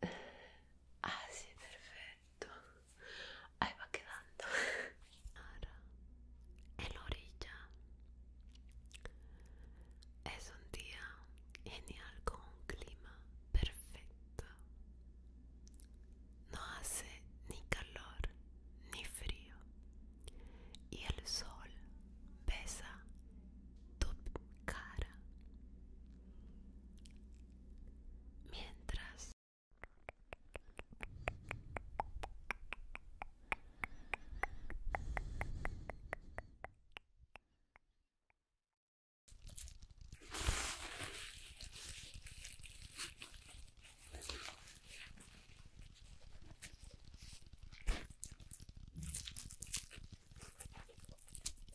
Así, ah, sí, perfecto. Ahí va quedando. Ahora, en la orilla. Es un día genial con un clima perfecto. No hace ni calor ni frío. Y el sol besa tu cara mientras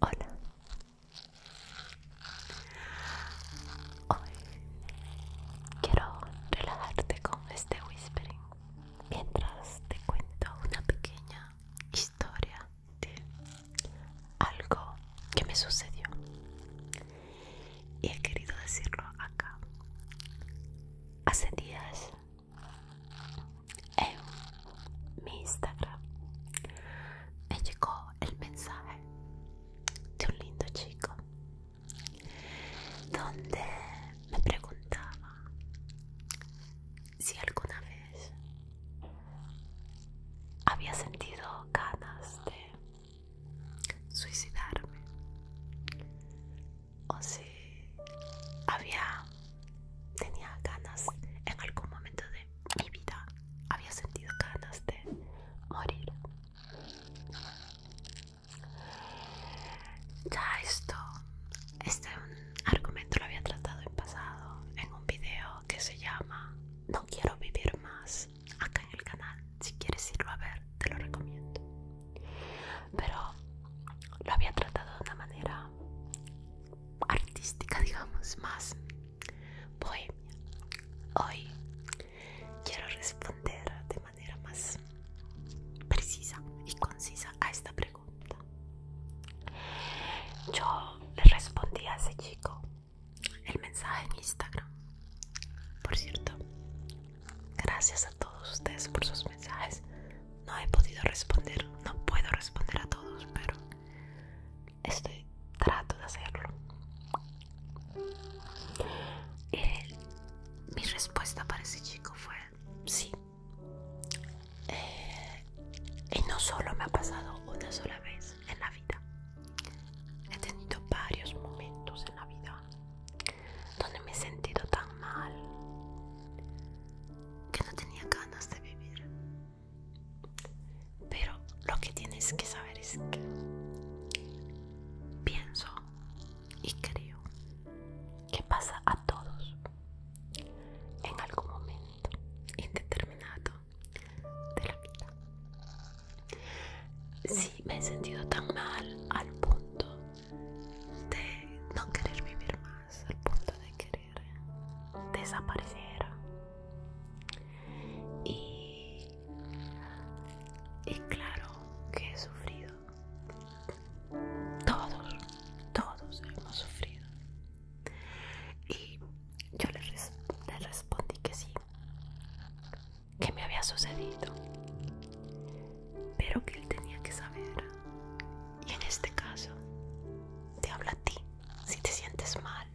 Hola. Hoy quiero relajarte con este whispering mientras te cuento una pequeña historia de algo que me sucedió y he querido decirlo acá. Hace días en mi Instagram me llegó el mensaje de un lindo chico donde me preguntaba si alguna vez había sentido ganas de suicidarme o si había tenía ganas en algún momento de mi vida había sentido ganas de morir ya esto este argumento lo había tratado en pasado en un video que se llama no quiero vivir más acá en el canal. Si quieres irlo a ver, te lo recomiendo. Pero lo había tratado de una manera artística, digamos, más bohemia. Hoy quiero responder de manera más precisa y concisa a esta pregunta. Yo le respondí a ese chico el mensaje en Instagram. Por cierto, gracias a todos ustedes por sus mensajes. No he podido responder, no puedo responder a todos, pero estoy trato de hacerlo. mi respuesta para ese chico fue sí. Eh, y no solo me ha pasado una sola vez en la vida, He tenido varios momentos en la vida donde me he sentido tan mal que no tenía ganas de vivir. Pero lo que tienes que saber es que pienso y creo que pasa a todos en algún momento indeterminado de la vida. Sí, me he sentido tan mal al punto de no querer vivir más, al punto de querer desaparecer. Y, y claro que he sufrido. Todos, todos hemos sufrido. Y yo le, le respondí que sí que me había sucedido, pero que él tenía que saber. Y en este caso, te hablo a ti, si te sientes mal,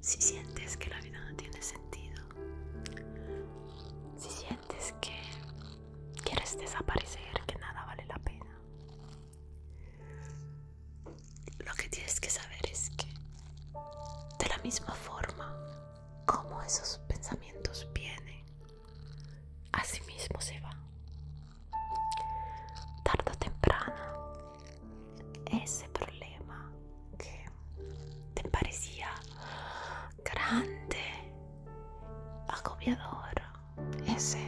si sientes que la vida no tiene sentido, si sientes que quieres desaparecer, que nada vale la pena. Lo que tienes que saber es que de la misma forma como esos pensamientos vienen, así mismo se van. Tarda o temprano, ese problema que te parecía grande, agobiador, ese,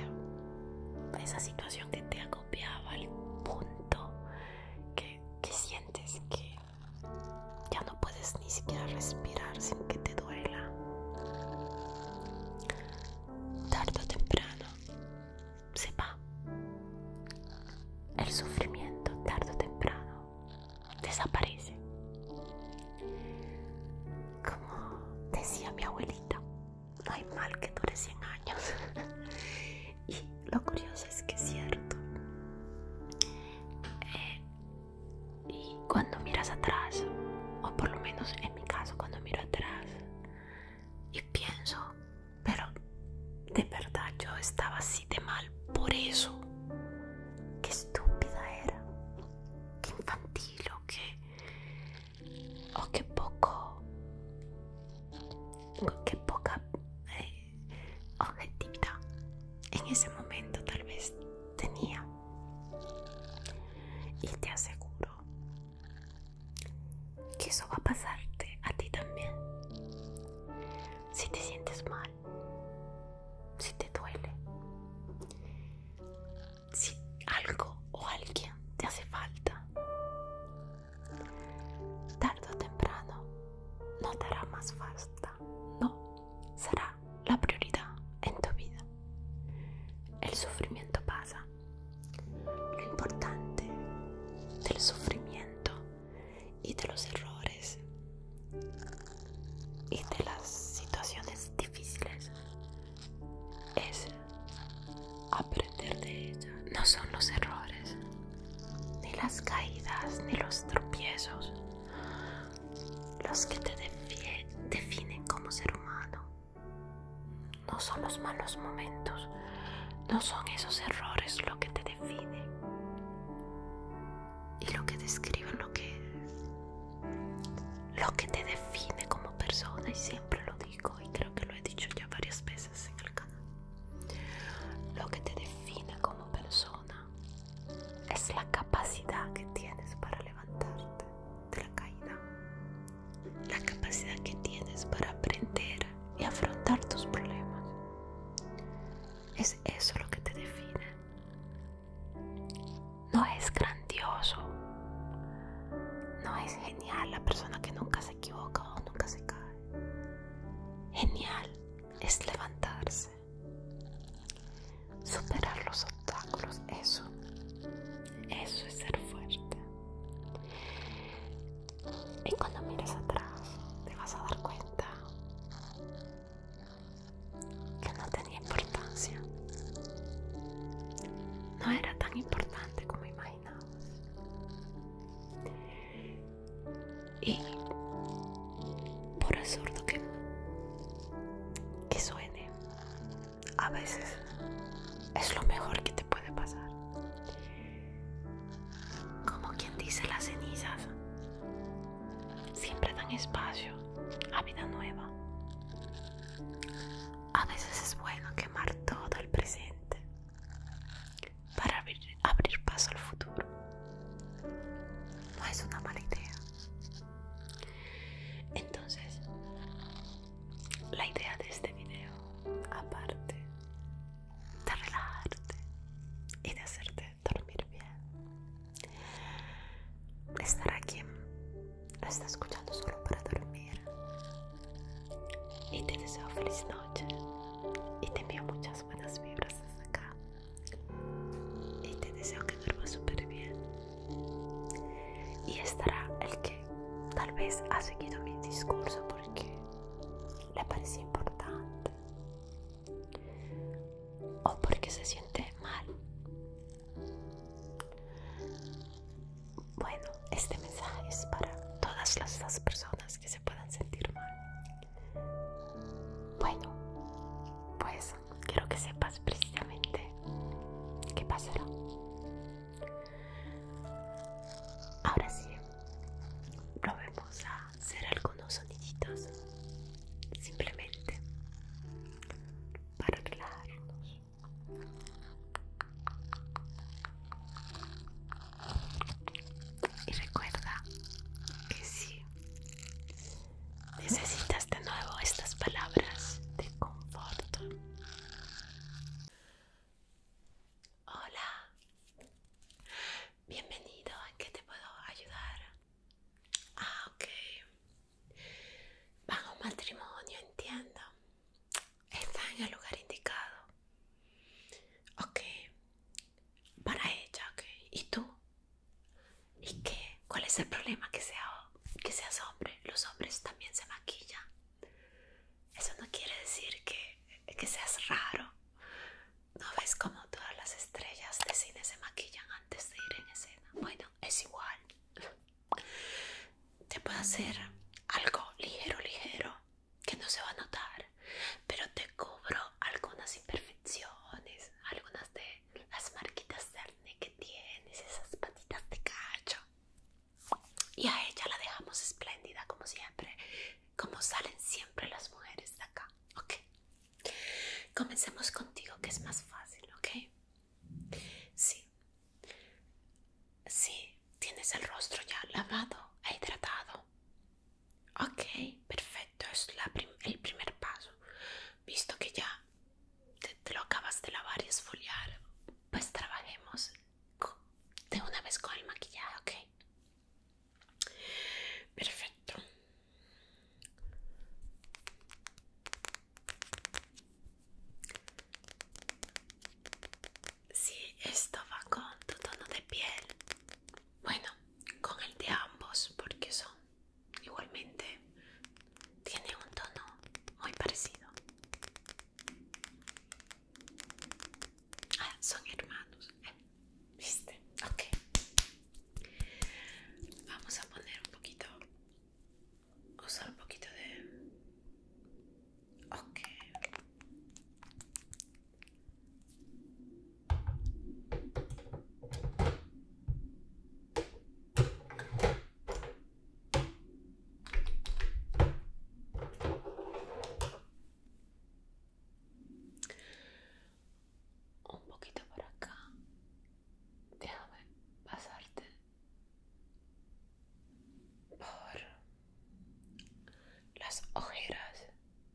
esa situación que te agobiaba al punto que sientes que ya no puedes ni siquiera respirar sin que te duela. Tardo o temprano se va. El sufrimiento tarde o temprano desaparece. Como decía mi abuelita, no hay mal que dure 100 años. Y lo curioso es que es cierto. Eh, y cuando miras atrás, o por lo menos en mi caso, cuando miro atrás y pienso, pero de verdad yo estaba así de mal por eso. Qué estúpida era, qué infantil o qué, o qué poco, qué poca eh, objetiva en ese momento tal vez tenía. Y te aseguro que eso va a pasarte a ti también. Si te sientes mal, si te duele, si algo o alguien te hace falta, Tardo o temprano no te hará más falta, no, será la prioridad en tu vida. El sufrimiento pasa. Lo importante del sufrimiento y de los errores y de las situaciones difíciles es aprender de ellas. No son los errores, ni las caídas, ni los tropiezos, los que te definen como ser humano. No son los malos momentos, no son esos errores lo que te define y lo que describe lo que lo que te define como persona y siempre lo digo y creo que lo he dicho ya varias veces. Lo que te define como persona es la capacidad que tienes para levantarte de la caída, la capacidad que tienes para aprender y afrontar tus problemas. Es eso lo que te define. No es grandioso, no es genial la persona que nunca se equivoca o nunca se cae. Genial es levantarse, superar los obstáculos, eso, eso es ser fuerte. Y cuando miras atrás, te vas a dar cuenta que no tenía importancia, no era tan importante como imaginabas y por el que, que suene, a veces es lo mejor que te puede pasar. Como quien dice, las cenizas siempre dan espacio a vida nueva. A veces es bueno quemar todo el presente para abrir, paso al futuro. No es una mala idea. Entonces, la idea de este video, aparte de relajarte y de hacerte dormir bien, estar aquí lo está escuchando solo para dormir. Y te deseo feliz noche y te envío mucha buenas vibras hasta acá y te deseo que duermas súper bien y estará el que tal vez ha seguido mi discurso porque le parece importante o porque se siente mal bueno este mensaje es para todas las personas que se puedan sentir mal. Bueno, pues quiero que sepas precisamente qué pasará. Ahora sí, probemos a hacer algunos soniditos simplemente para relajarnos. Y recuerda que si necesitas de nuevo estas palabras de conforto. Hola, bienvenido, ¿en qué te puedo ayudar? Ah, ok. Van a un matrimonio, entiendo. Está en el lugar indicado. Ok, para ella, ¿ok? ¿Y tú? ¿Y qué? ¿Cuál es el problema? Que, sea, que seas hombre. Los hombres también se maquillan. Eso no quiere decir que, que seas raro. ¿No ves como todas las estrellas de cine se maquillan antes de ir en escena? Bueno, es igual. Te puedo hacer algo ligero, ligero que no se va a notar, pero te cubro algunas imperfecciones, algunas de las marquitas de que tienes, esas patitas de cacho. Y a ella la dejamos espléndida como siempre, como salen siempre las mujeres de acá, ¿ok? Comencemos contigo que es más fácil, ¿ok? Sí. Sí, tienes el rostro ya lavado e hidratado. Ok, perfecto, es el primer paso. Visto que ya te, lo acabas de lavar y esfoliar, pues trabajemos de una vez con el maquillaje, ok. Perfecto. Sí, esto va con tu tono de piel bueno, con el de ambos, porque son igualmente, tienen un tono muy parecido. Ah, son hermanos. Eh, ¿Viste? Ok. Vamos a poner un poquito, usar un poquito de... Ok. Un poquito por acá. Déjame pasarte por las ojeras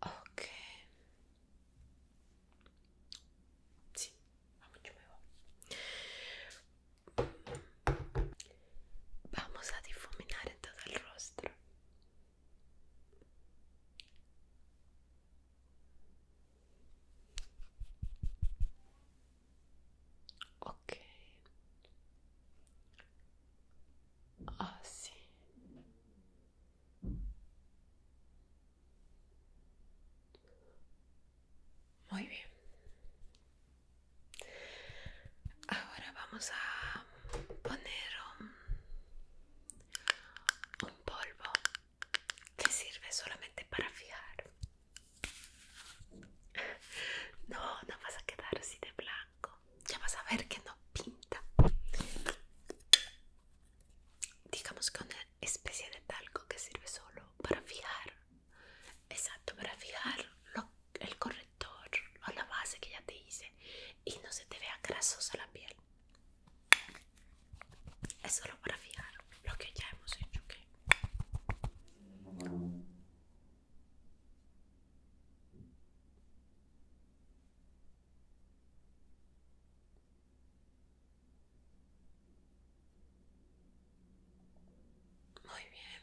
Ok. Sì, vamos a difuminar en todo el rostro Ok. Ah, sí. Muy bien. Ahora vamos a poner un polvo que sirve solamente para fijar. No, no vas a quedar así de blanco. Ya vas a ver que no pinta. Digamos que una especie de talco que sirve solo para fijar. Exacto, para fijar el correcto a la base que ya te hice y no se te vea grasosa la piel. Es solo para fijar lo que ya hemos hecho. Muy bien,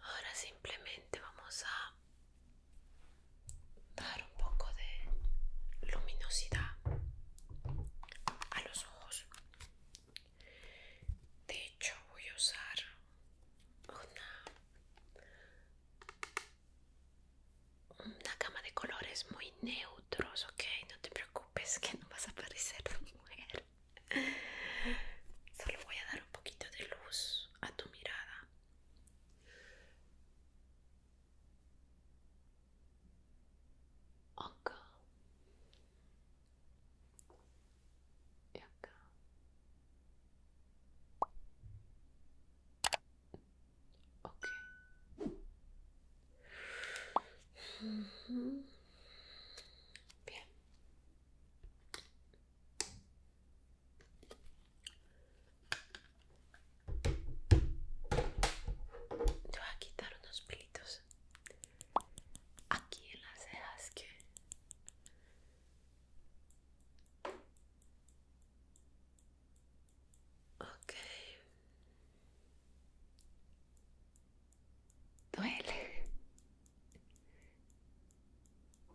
Ahora simplemente vamos a dar un poco de luminosidad a los ojos. De hecho, voy a usar una, una gama de colores muy neutros, ok? No te preocupes que no vas a parecer mujer. Solo voy a dar un poquito de luz a tu mirada. Acá. Y acá. Ok. Bien. Yo voy a quitar unos pelitos aquí en las cejas que ok duele.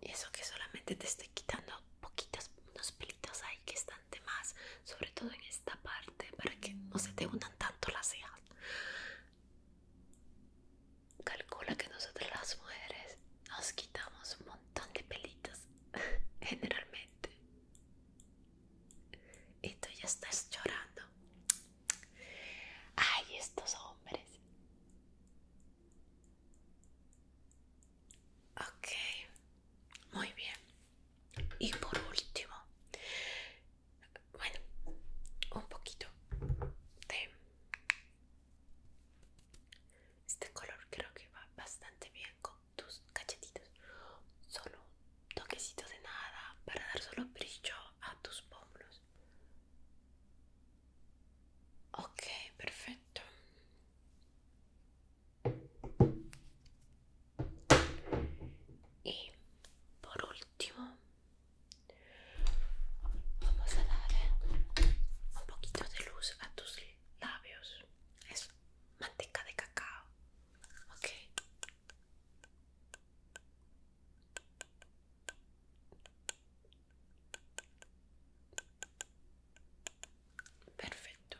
Y eso que solamente te estoy quitando poquitos, unos pelitos ahí que están de más, sobre todo en esta parte, para que no se te unan tanto las cejas. Calcula que nosotros las mujeres nos quitamos un montón de pelitos, generalmente. Y tú ya estás llorando. Ay, estos hombres. Ok, muy bien. Y por último, bueno, un poquito de este color creo que va bastante bien con tus cachetitos. Solo un toquecito de nada para dar solo brillo a tus pómulos. Ok, perfecto. Y por último, vamos a darle un poquito de luz a tus labios. Es manteca de cacao. Ok. Perfecto.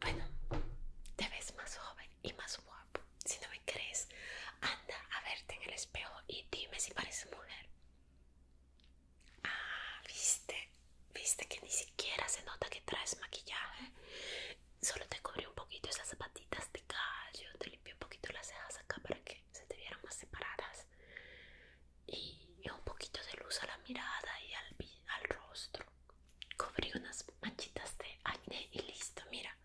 Bueno, te ves más joven y más guapo. Si no me crees, anda a verte en el espejo y dime si pareces mujer. Ah, viste, viste que ni siquiera se nota que traes maquillaje. Solo te cubrí un poquito esas zapatitas de callo, te limpié un poquito las cejas acá para que se te vieran más separadas. Y un poquito de luz a la mirada y al, al rostro. Cubrí unas manchitas de acné y listo, mira.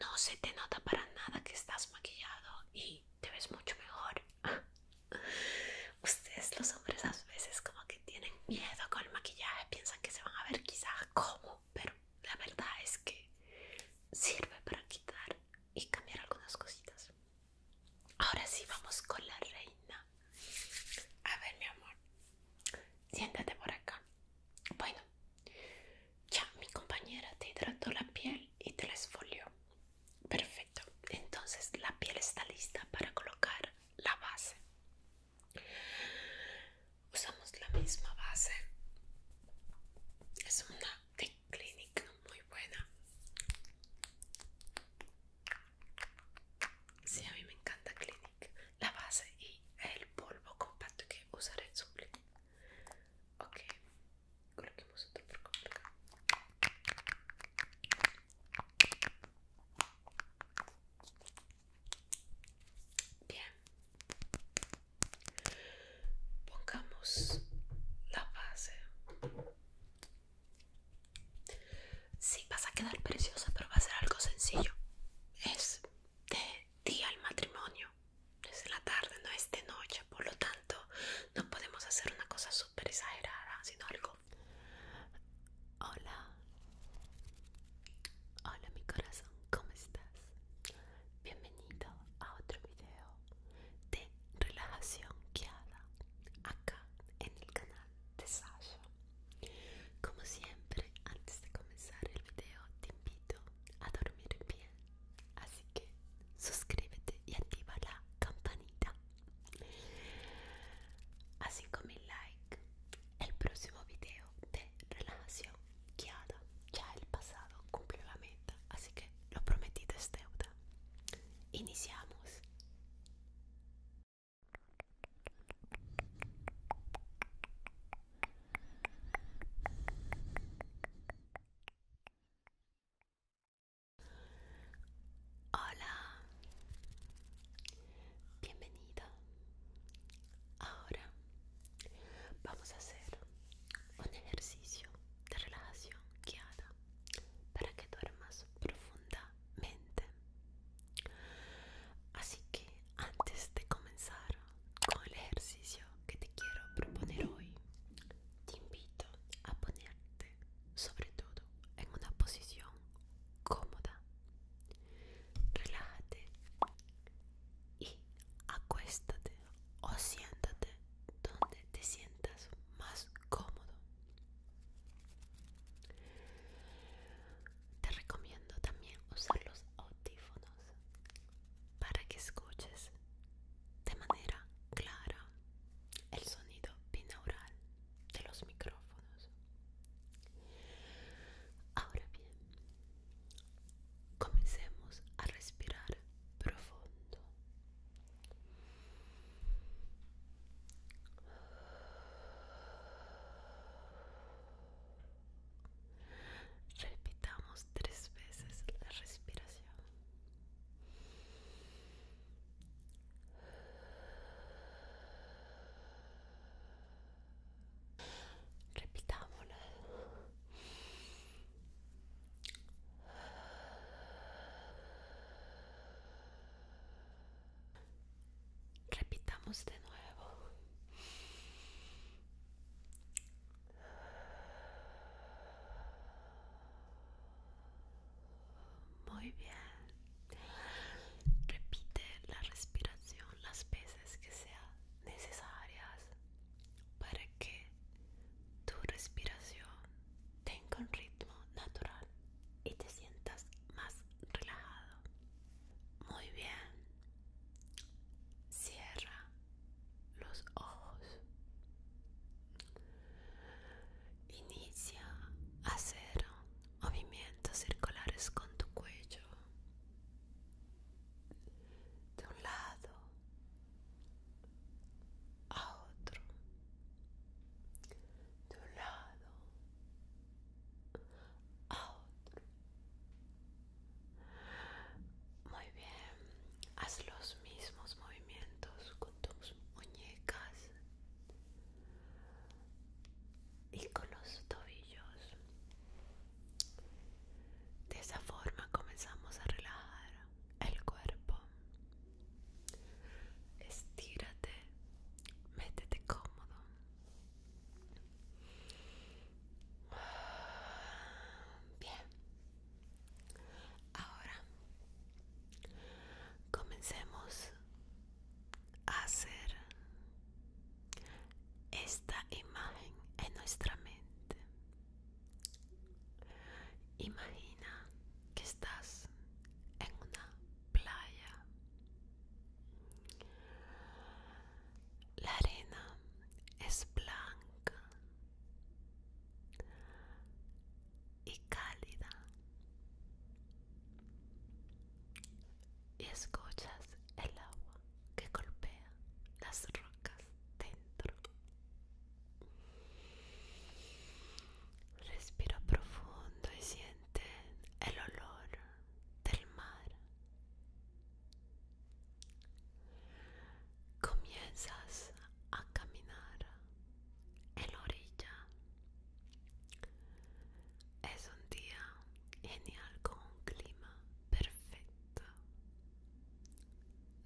No se te nota para nada que estás maquillado y te ves mucho mejor. Ustedes los hombres a veces como que tienen miedo con el maquillaje, piensan que se van a ver quizás como pero la verdad es que sirve para quitar y cambiar algunas cositas. Ahora sí, vamos con la reina. A ver, mi amor, siéntate por acá. Bueno, ya mi compañera te hidrató la piel y te la esfolió. Perfecto, entonces la piel está lista para colocar la base. Usamos la misma base. Es una de Clinic muy buena. Sí, a mí me encanta Clinic. la base y el polvo compacto que usaré en Clinic. Ok, coloquemos otro por acá. Bien. Pongamos la base. Sí, vas a quedar preciosa, pero va a ser algo sencillo. Es de día el matrimonio. Es en la tarde, no es de noche. Por lo tanto, no podemos hacer una cosa súper exagerada, sino algo... Hola, Hola mi corazón, ¿cómo estás? Bienvenido a otro video de relajación guiada acá en el canal de Sasha. Como siempre, antes de comenzar el video te invito a dormir bien, así que suscríbete y activa la campanita. así como el like el próximo video de relajación ya el pasado cumplió la meta, así que lo prometido es deuda. Iniciamos. Hola, bienvenida. Ahora Vamos a hacer un ejercicio de relajación guiada para que duermas profundamente. Así que antes de comenzar con el ejercicio que te quiero proponer hoy, te invito a ponerte sobre todo en una posición cómoda. Relájate y acuéstate o siéntate donde te sientas más cómodo. Te recomiendo también usar los audífonos para que escuches de manera clara el sonido binaural de los micrófonos. Ahora bien, Comencemos a respirar profundo. Repitamos tres veces la respiración. Repitámoslo. Repitamos de nuevo. Muy bien. Repite la respiración las veces que sea necesarias para que tu respiración tenga un ritmo natural y te sientas más relajado. Muy bien. Cierra los ojos. Inicia a hacer movimientos circulares con tu cuello de un lado a otro, de un lado a otro. Muy bien, haz los mismos movimientos con tus muñecas y con los tobillos. De esa forma comenzamos a relajar el cuerpo. Estírate, métete cómodo. Bien. Ahora comencemos a hacer esta imagen en nuestra mente. Imagina que estás en una playa. La arena es blanca y cálida. Y escuchas el agua que golpea las rocas dentro. Respira profundo y siente el olor del mar. Comienzas a caminar en la orilla. Es un día genial con un clima perfecto.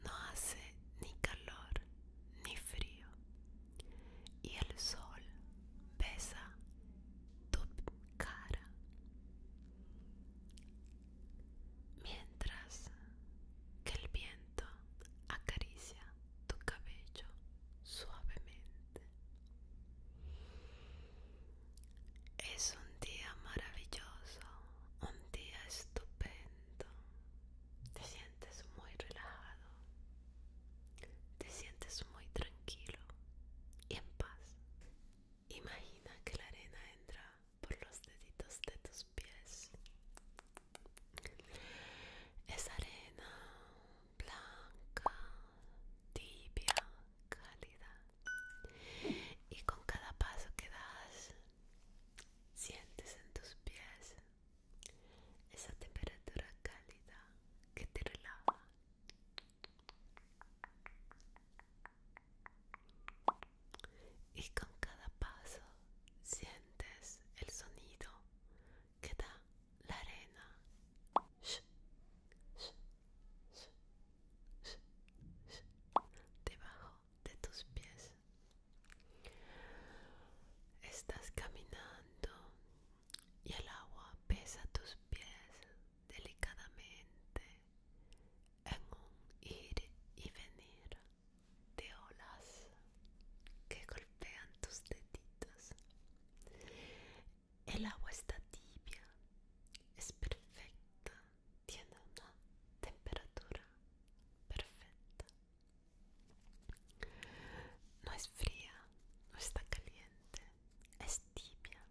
No hace ni calor ni frío. Y el sol besa tu cara. Mientras que el viento acaricia tu cabello suavemente. Es un día maravilloso, un día estupendo. Te sientes muy relajado, te sientes muy tranquilo y en paz. Imagina que la arena entra por los deditos de tus pies. Es arena blanca, tibia, cálida. Y con cada paso que das, sientes en tus pies esa temperatura cálida que te relaja. Y con cada paso sientes el sonido que da la arena debajo de tus pies. Estás caminando y el agua pesa tus pies delicadamente en un ir y venir de olas que golpean tus deditos. El agua está tibia, es perfecta, tiene una temperatura perfecta. No es fría, no está caliente, es tibia.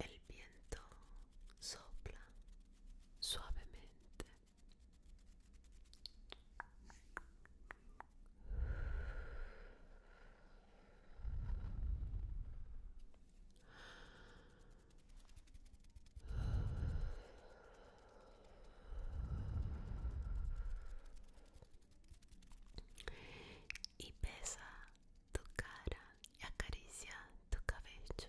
El viento sopla suavemente y pesa tu cara y acaricia tu cabello